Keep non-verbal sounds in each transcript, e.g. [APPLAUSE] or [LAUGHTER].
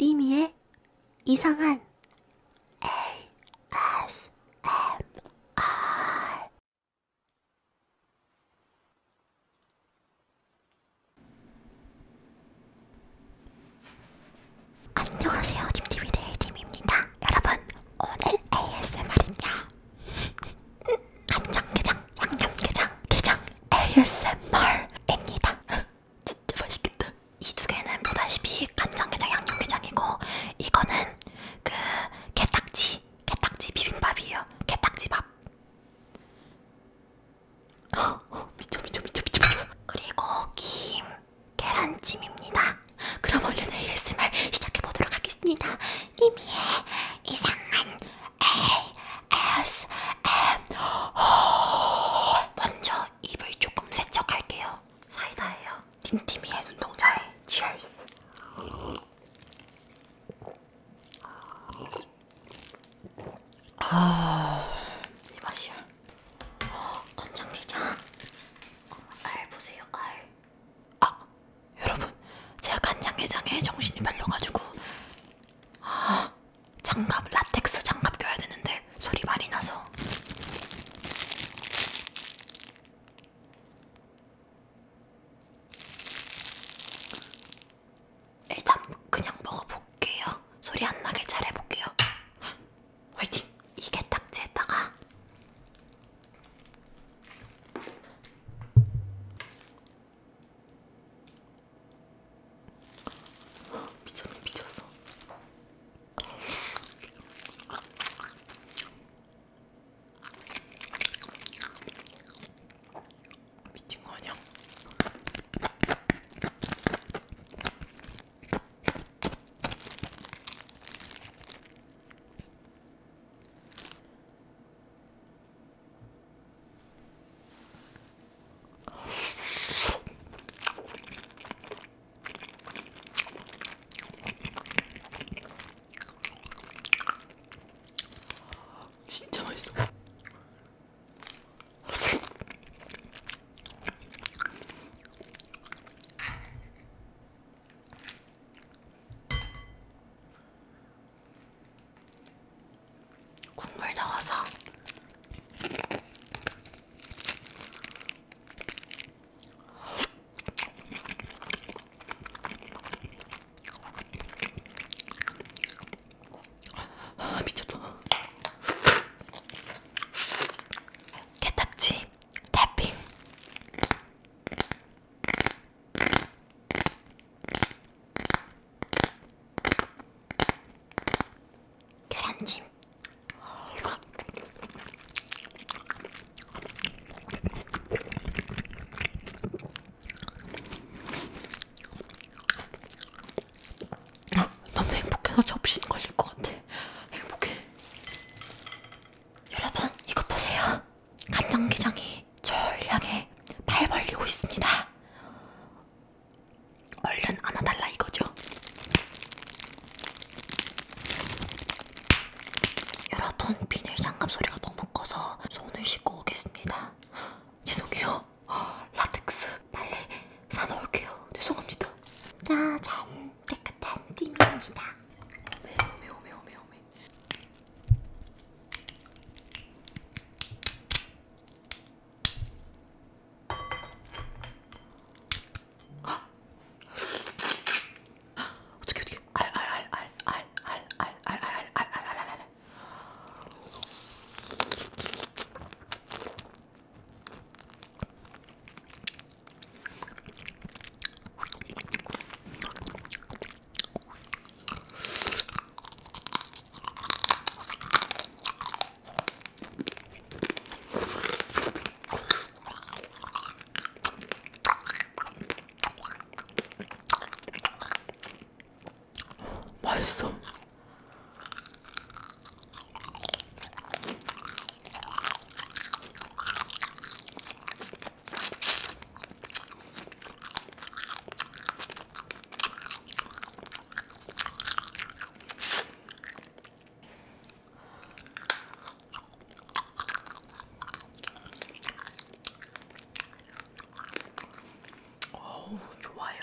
니미의 이상한 ASMR 안녕하세요 님티비들의 님입니다 여러분 오늘 ASMR은요 간장게장, 양념게장, 게장 ASMR입니다. [LAUGHS] 진짜 맛있겠다. 이두 개는 보다시피 간장게장, 양념게장이고 이거는 그 게딱지, 게딱지 비빔밥이에요. 게딱지 밥. [LAUGHS] 미쳐 미쳐 미쳐 미쳐 미쳐. 그리고 김, 계란찜입니다. 그럼 얼른 ASMR 시작해 보도록 하겠습니다. 님이의 이상한 ASMR. 아, 먼저 입을 조금 세척할게요. 사이다예요. 틴티미의 눈동자에 치얼스. 아, 이 맛이야. 건장기장. 알 보세요, 알. 아, 여러분, 제가 간장게장에 정신이 말려가지고 아, 장갑 라텍스 장갑 껴야 되는데 소리 많이 나서. 일단 그냥 먹어볼게요. 소리 안 나게 잘 해볼게요. 화이팅! 이게 딱지에다가 미쳤네 미쳤어. 미친 거 아니야? 진짜 맛있어. 국물 넣어서 아, 미쳤다. 개딱지, 태핑. 계란찜 너무 행복해서 접신 걸릴 것 같아. 행복해. 여러분, 이거 보세요. 간장게장이 절 향해 팔 벌리고 있습니다. 얼른 안아달라 이거죠. 여러분 비닐 장갑 소리가 너무 커서 손을 씻고 오겠습니다. 죄송해요. 어, 라텍스 빨리 사놓을게요. 죄송합니다. 짜잔 깨끗한 띠입니다. 매워 매워 매워 매워 매워 어떻게 어떻게 알알알알알알알알알알알알 맛있어. 어우, 좋아요.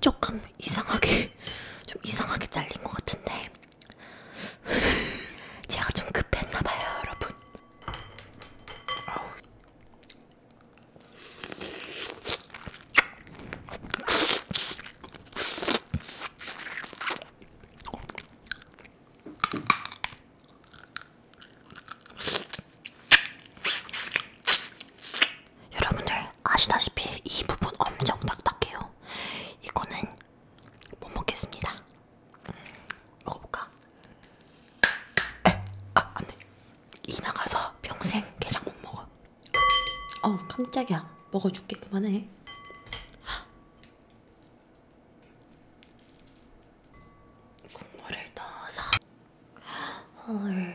조금 이상하게 [LAUGHS] 좀 이상하게 잘린 것 같은데 [LAUGHS] 제가 좀 급했나봐요 여러분 여러분들 아시다시피 이 부분 엄청 딱딱해요. 이거는 못 먹겠습니다. 음, 먹어볼까? 에, 아 안돼. 이 나가서 평생 게장 못 먹어. 어우 깜짝이야. 먹어줄게 그만해. 국물을 넣어서. 헐.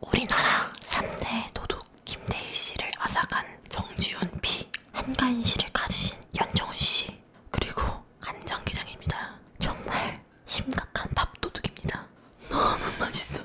우리나라 3대 도둑 김대일 씨를 앗아간 정지훈 피 한가인 씨를 가지신 연정훈 씨 그리고 간장게장입니다. 정말 심각한 밥 도둑입니다. 너무 맛있어.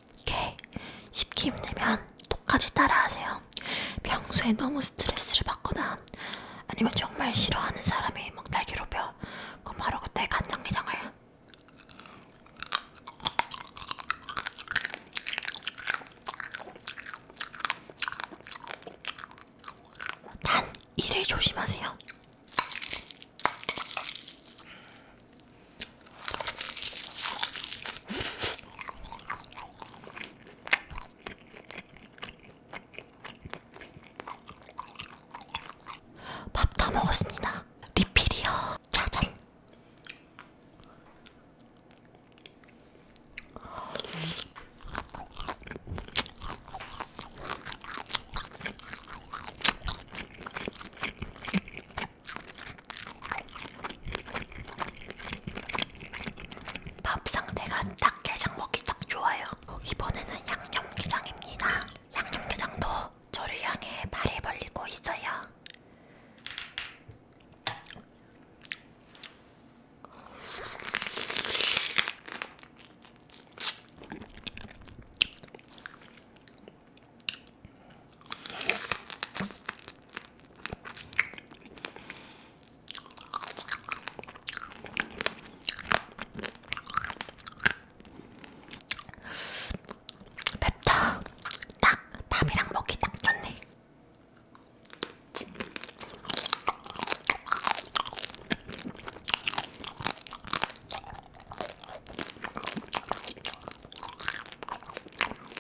오케이. 쉽게 힘들면 똑같이 따라하세요. 평소에 너무 스트레스를 받거나 아니면 정말 싫어하는 사람이 막날 괴롭혀. 그럼 바로 그때 간장게장을 단 이를 조심하세요. 밥다 먹었습니다. 리필이요. 짜잔. 밥 상태가 닭게장 먹기 딱 좋아요. 이번에는 양념게장입니다. 양념게장도 저를 향해 발을 벌리고 있어요. 맵다. 딱 밥이랑 먹기 딱 좋네.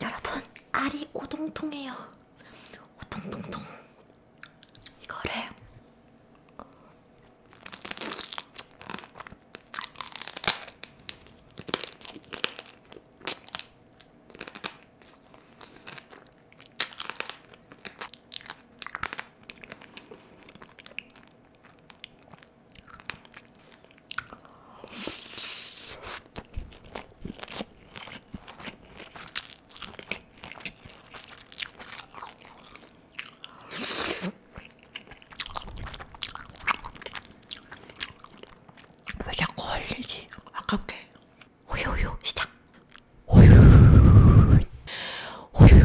여러분 알이 오동통해요. 오동통통. 이거를 왜 자꾸 흘리지? 아깝게. 호요요 시작. 호요. 호요.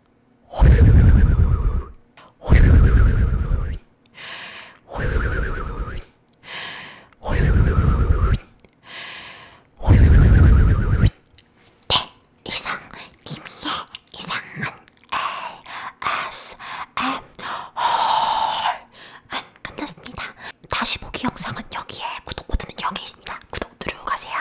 네, 다시 보기 영상은 여기에 구독 버튼은 여기 있습니다. 구독 누르고 가세요.